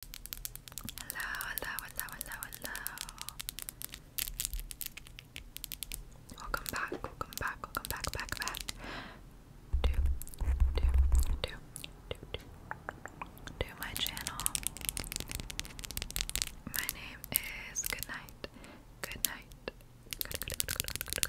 Hello, hello, hello, hello, hello. Welcome back, welcome back, welcome back, back, back. Do, do, do, do, do, my channel. My name is Goodnight, Goodnight, Good, good, good,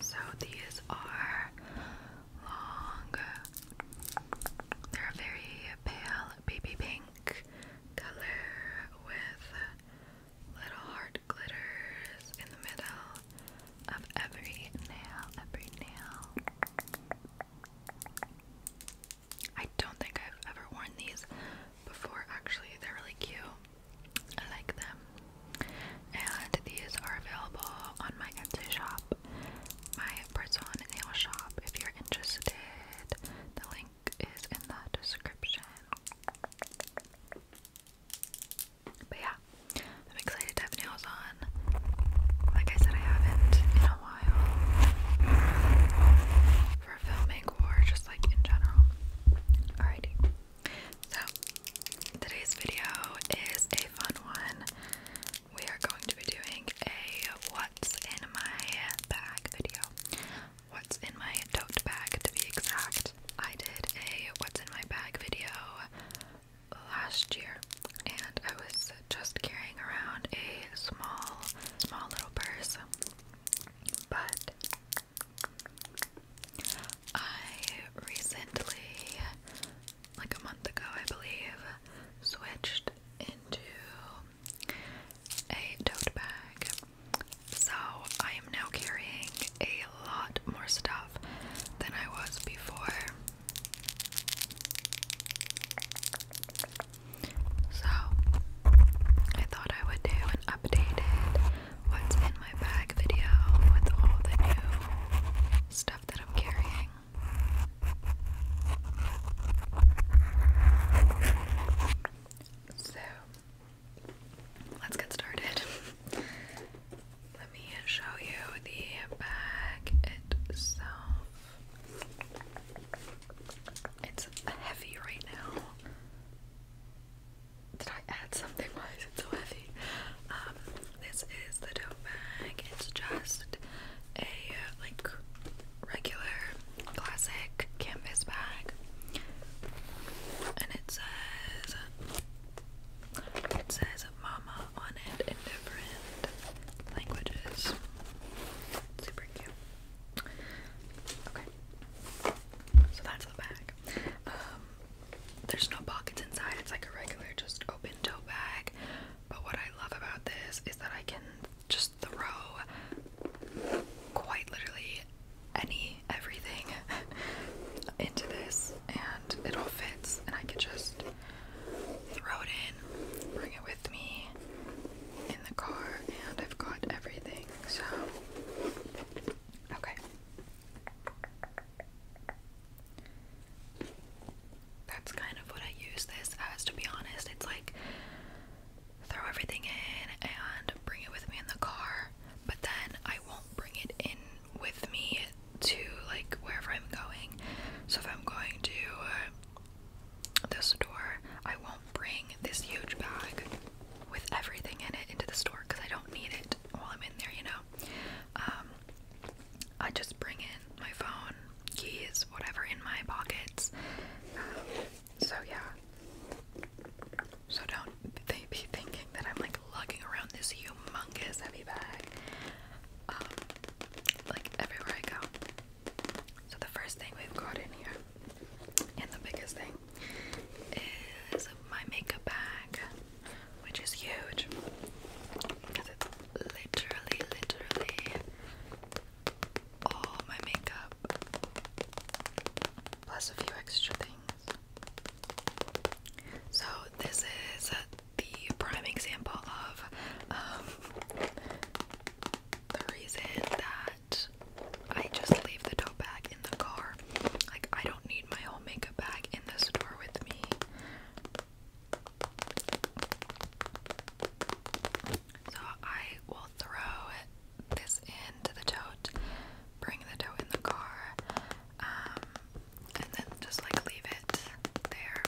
so these are long. They're a very pale baby pink color with little heart glitters in the middle of every nail, every nail. I don't think I've ever worn these before actually. They're really cute. I like them. And these are available on my Etsy shop, my personal nail shop, if you're interested. The link is in the description. But yeah, I'm excited to have nails on. Like I said, I haven't in a while for filming or just like in general. Alrighty. So, today's video is a fun one. We are going to be doing a what's in my bag video. What's in my tote bag to be exact. I did a what's in my bag video last year and I was just carrying around a small, small little purse. But I recently, like a month ago, I believe, switched into a tote bag. So I am now carrying a lot more stuff than I was before. So I thought I would do an updated what's in my bag video with all the new stuff that I'm carrying. So, let's get started. Let me show you the bag itself. It's heavy right now did I add something? Why is it so heavy? Um, this is the tote bag. It's just a uh, like regular classic canvas bag, and it says it says "Mama" on it in different languages. Super cute. Okay, so that's the bag. Um, there's no pockets inside. It's like a regular just open tote bag. But what I love about this is that I can just throw quite literally any everything into this and it all fits and I can just throw it in, bring it with me in the car and I've got everything. So okay. That's kind of what I use this as, to be honest. It's like throw everything in and bring it with me in the car, but then I won't bring it in with me to like wherever I'm going. So if I'm going to uh, the store, I won't bring this huge bag with everything in it into the store because I don't need it while I'm in there, you know? Um, I just bring in my phone, keys, whatever in my pockets. Um, so yeah. So don't they be thinking that I'm like lugging around this humongous heavy bag, um, like everywhere I go. So the first thing we've got in here, and the biggest thing, is my makeup bag which is huge because it's literally, literally all my makeup plus a few extra things. So, this is the prime example of um, the reason that I just leave the tote bag in the car. Like, I don't need my whole makeup mega in the store with me. So I will throw this into the tote, bring the tote in the car, um, and then just like leave it there.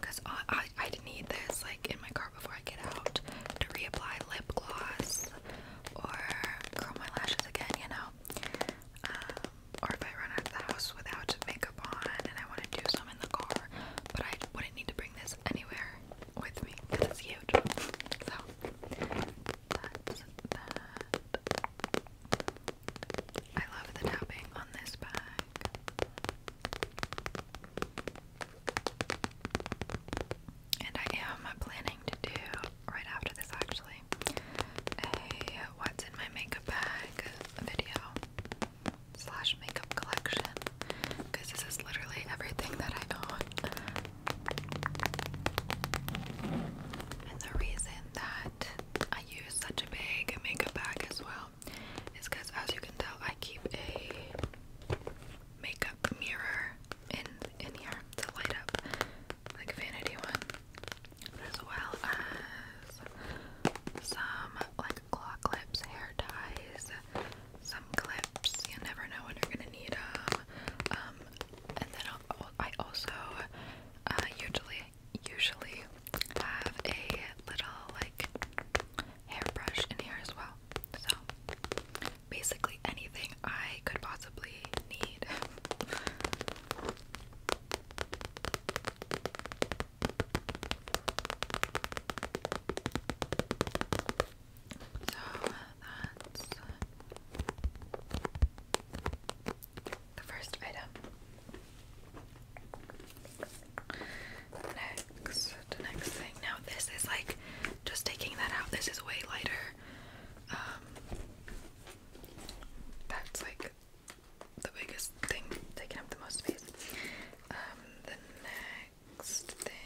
Cause I, I need this like in my car before I get out to reapply lip gloss or curl my lashes again, you know. Um, or if I run out of the house without makeup on and I want to do some in the car, but I wouldn't need to bring this anywhere with me because it's huge. So that's that. I love the tapping on this bag. And I am planning to do right after this actually a what's in my makeup bag video slash makeup collection because this is literally everything that I own. And the reason that I use such a big makeup bag as well is because, as you can tell, I keep a makeup mirror in in here to light up, like vanity one as well as some like claw clips, hair ties, some clips. You never know when you're gonna need them. Um, and then i also uh, usually usually have a little like hairbrush in here as well. So basically anything I could possibly need. that's the first item. Next, next thing. Now this is like just taking that out. This is way lighter. Um, that's like the biggest thing, taking up the most space. Um, the next thing,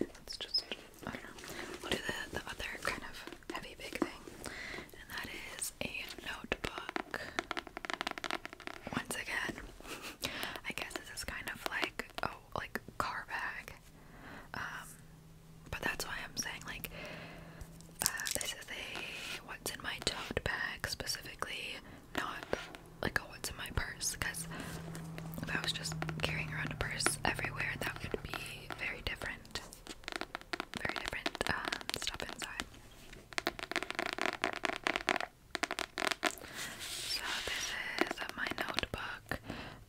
let just, I don't know, we'll do the, the other kind of heavy big thing, and that is a notebook. Once again, I guess this is kind of like, oh, like car bag. Um, but that's why I'm saying, like, uh, this is a what's in my tote bag specifically, not like a what's in my purse. Because if I was just carrying around a purse everywhere, that would be very different. Very different um, stuff inside. So this is my notebook.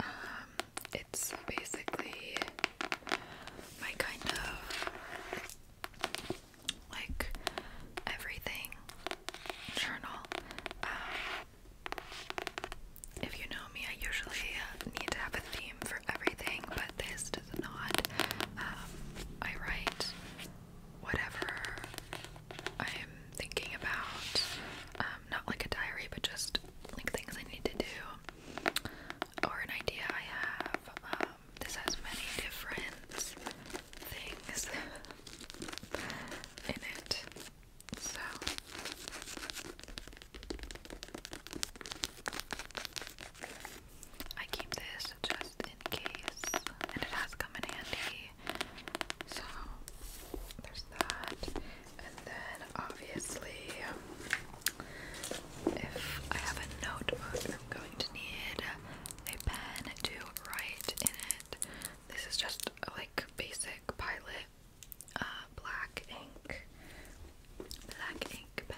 Um, it's basically my kind of like everything journal. Um, if you know me, I usually uh, need to have a theme for everything, but this does not. Um, I write whatever I'm thinking about, um, not like a diary, but just like things I need to do or an idea I have. Um, this has many different things in it. So I keep this just in case, and it has come in handy. So there's that, and then obviously if I have a notebook, I'm going to need a pen to write in it. This is just like basic pilot uh, black ink, black ink pen.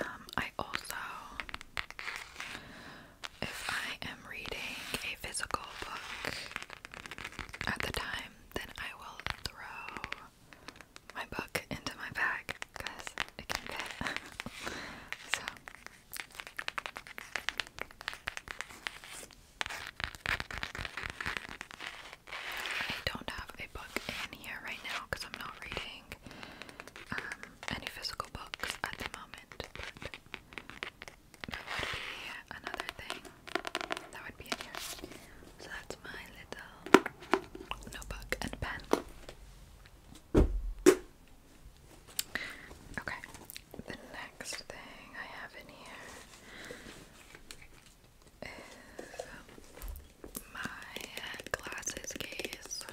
Um, I also, if I am reading a physical book at the time, then I will throw my book into my bag because it can fit. so. I don't have a book in here right now because I'm not reading. Um, any physical books at the moment, but that would be another thing that would be in here. So that's my little notebook and pen. Okay, the next thing I have in here is my glasses case.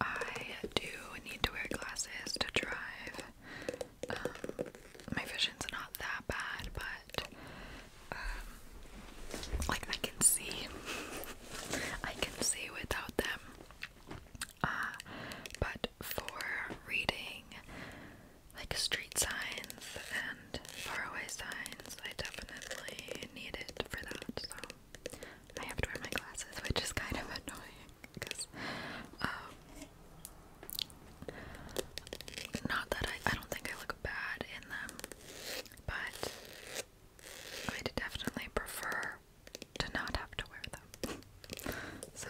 I do need to wear glasses to drive. Um, my vision's not that bad, but um, like I can see, I can see without them. Uh, but for reading like street signs and faraway signs. I definitely need it for that, so I have to wear my glasses, which is kind of annoying because, um, not that I, I don't think I look bad in them, but I definitely prefer to not have to wear them. So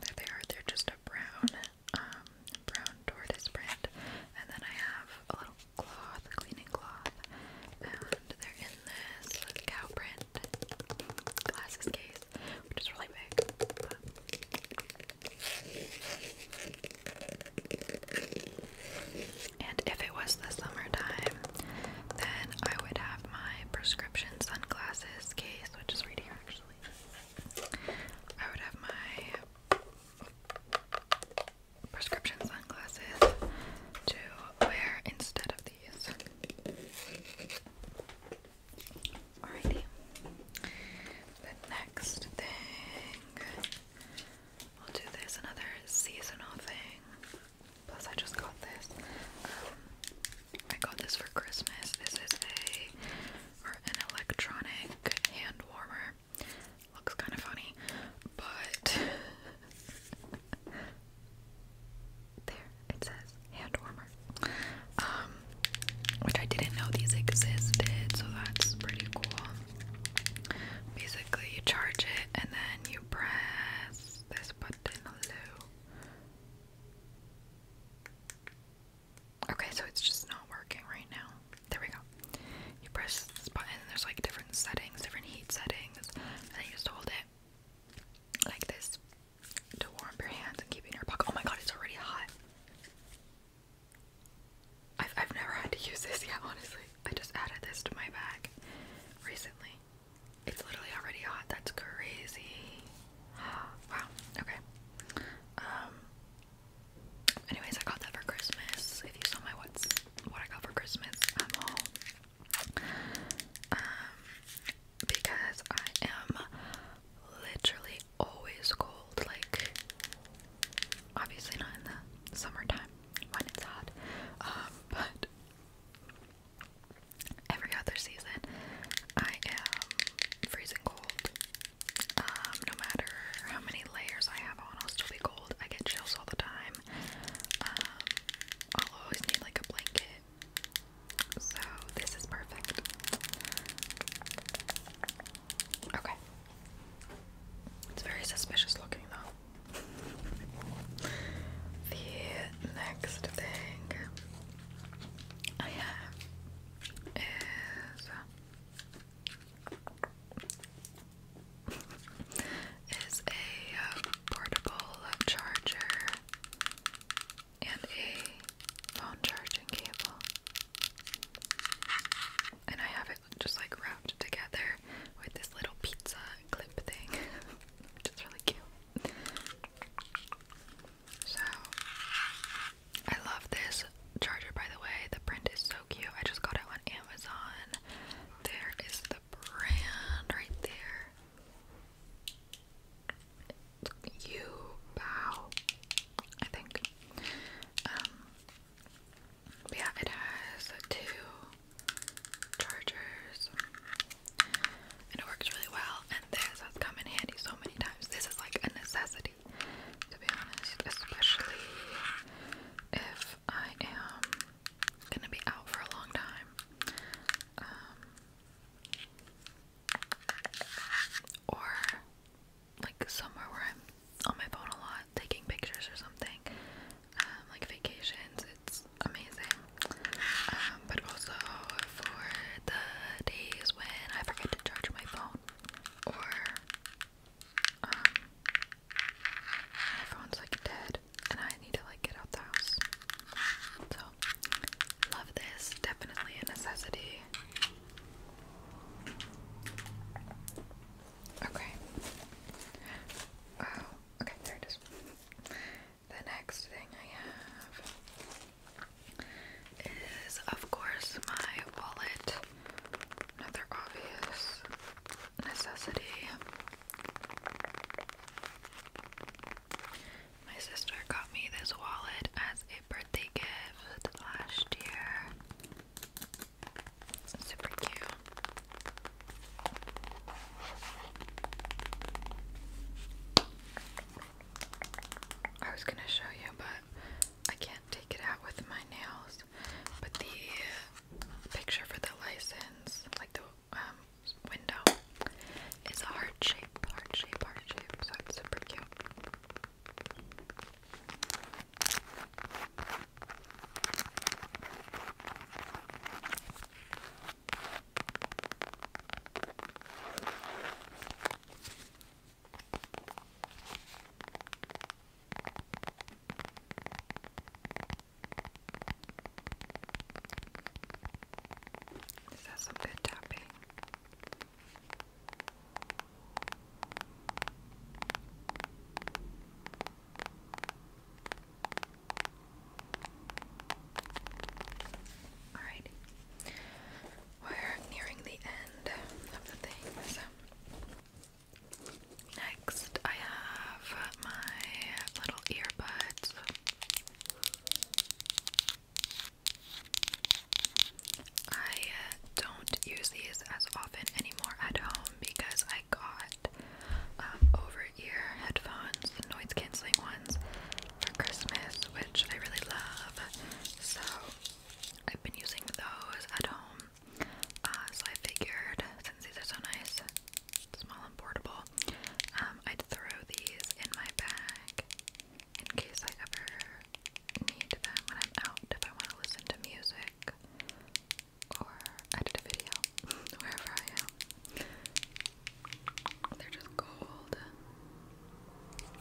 there they are. They're just a brown, um, brown tortoise print. And then I have a little cloth, cleaning cloth, and they're in this cow print glasses case, which is really big. and if it was the summertime, then I would have my prescription sunglasses case, which is right here actually. I would have my prescription sunglasses to wear instead of these. Alrighty. The next thing, we'll do this another seasonal thing. Plus, I just got this. Um, I got this for Christmas. This is a an electronic hand warmer. Looks kind of funny, but there it says hand warmer. Um, which I didn't know these existed, so that's pretty cool. Basically, you charge it and then you press this button, Okay, so it's just not working right now. There we go. You press this button, and there's like different settings, different heat settings, and then you just hold it like this to warm your hands and keep in your pocket. Oh my god, it's already hot. I've, I've never had to use this yet, honestly. I just added this to my bag recently. It's literally already hot. That's crazy. wow. Okay. Um. Anyways, I got that for Christmas. If you saw my what's what I got for Christmas, I'm all. Um. Because I am literally always cold. Like, obviously not in the summertime when it's hot. Um. But every other season, I am freezing cold. Um, no matter how many layers I have on, i still be cold. I get chills all the time. Um, I'll always need like a blanket. So this is perfect. Okay. It's very suspicious looking though. The next thing I have is uh, is a uh, portable charger and a phone charging cable. And I have it just like wrapped together with this little pizza clip thing, which is really cute. So I love this charger by the way. The print is so cute. I just got it on Amazon. There is the brand right there. You I think. Um yeah, it has two chargers and it works really well. And this has come in handy so many times. This is like a necessity, to be honest, especially if I am gonna be out for a long time. Um, or like somewhere where I'm on my phone a lot, taking pictures or something. Um, like vacations, it's amazing. Um, but also for the days when I forget to charge my phone or um, my phone's like dead and I need to like get out the house. So love this. Definitely a necessity. Okay. Oh, okay, there it is. The next thing I have is, of course, my wallet. Another obvious necessity. My sister got me this wallet as a birthday gift last year. super cute. I was gonna show you, but I can't take it out with my nails. But the picture for the license, like the um, window, is a heart shape, heart shape, heart shape. So it's super cute. Is that some good tapping? Alright. We're nearing the end of the things. Next, I have my little earbuds. I don't use these as often anymore at home because I got um, over ear headphones, noise canceling ones, for Christmas, which I really love. So I've been using those at home. Uh, so I figured since these are so nice, small and portable, um, I'd throw these in my bag in case I ever need them when I'm out if I want to listen to music or edit a video wherever I am. They're just gold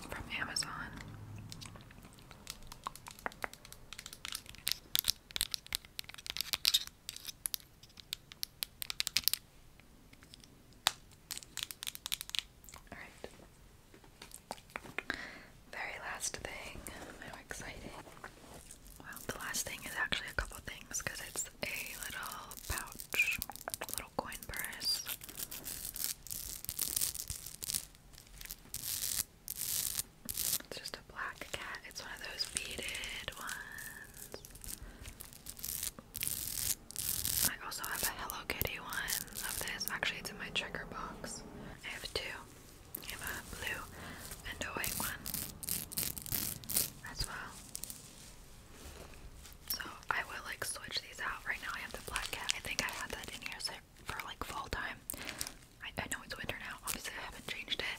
from Amazon. All right. Very last thing. How exciting. Well, the last thing is actually a couple things because it's a little pouch, little coin purse. It's just a black cat. It's one of those beaded ones. I also have a Hello Kitty one of this. Actually, it's in my checker box. I have two. I have a blue and a white one as well. So I will like switch these out. Right now I have the black cat. I think I had that in here for like fall time. I, know it's winter now. Obviously I haven't changed it.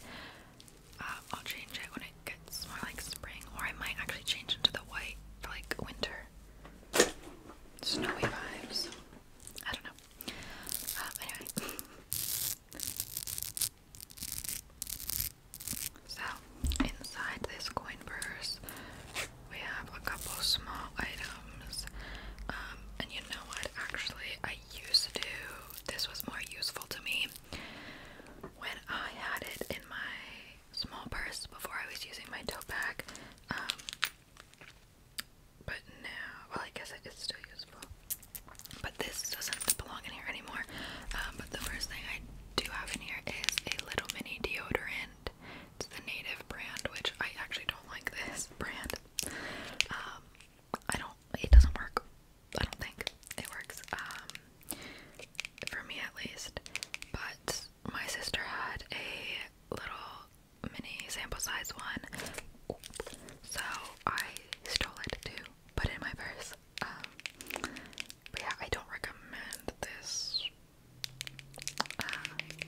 Uh, I'll change it when it gets more like spring, or I might actually change into the white for like winter. Snowy vibes. I don't know. Uh, anyway. So, inside this coin purse, we have a couple small items. Um, and you know what? Actually, I used to do this, was more useful to me when I had it in my small purse before I was using my tote bag. Um, but now, well, I guess it is still useful. But this doesn't belong in here anymore. Um, but the first thing I do have in here is a little mini deodorant. It's the Native brand, which I actually don't like this brand. Um, I don't. It doesn't work. I don't think it works. Um, for me at least. But my sister had a little mini sample size one, so I stole it to put in my purse. Um, but yeah, I don't recommend this uh,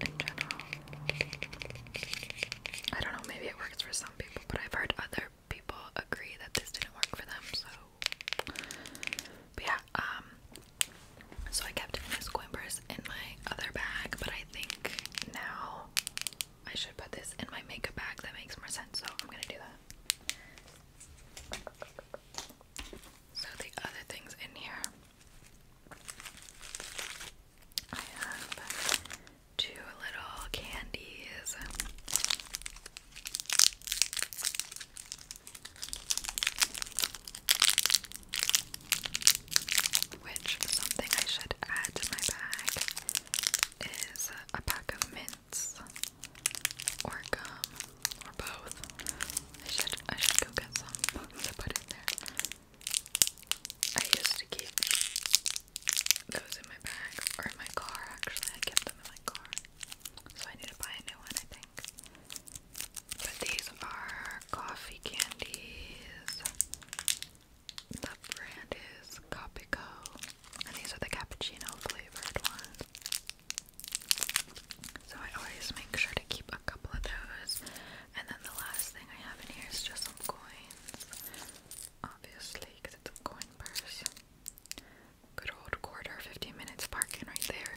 in general. I don't know, maybe it works for some people, but I've heard other people agree that this didn't work for them, so but yeah, um so I kept this coin purse in my other bag, but I think now I should put this in my makeup bag. That makes more sense, so I'm gonna do that. So the other things in here, I have two little candies. Which something I should add to my bag is a pack of mint or gum or both. I should I should go get some to put in there. I used to keep those in my bag or in my car actually. I kept them in my car. So I need to buy a new one I think. But these are coffee candies. The brand is Copico. And these are the cappuccino flavored ones. So I always make sure to keep a couple of those. And then the last thing I have in here is just some coins. Obviously, because it's a coin purse. Good old quarter, 15 minutes parking right there.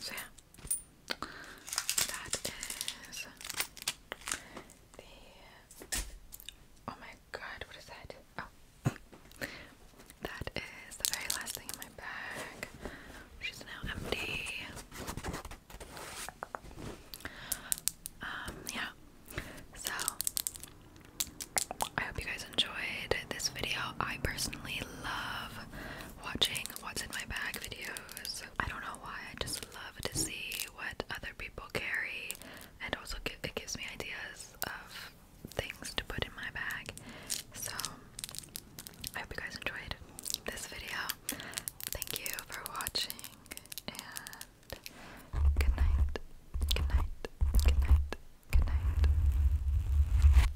So yeah, that is the. Oh my god, what is that? Oh, that is the very last thing in my bag. She's now empty. Um, yeah. So, I hope you guys enjoyed this video. I personally love watching what's in my bag videos. I don't know why, I just love to see what other people carry, and also it gives me ideas of things to put in my bag. So, I hope you guys enjoyed this video. Thank you for watching, and good night, good night, good night, good night.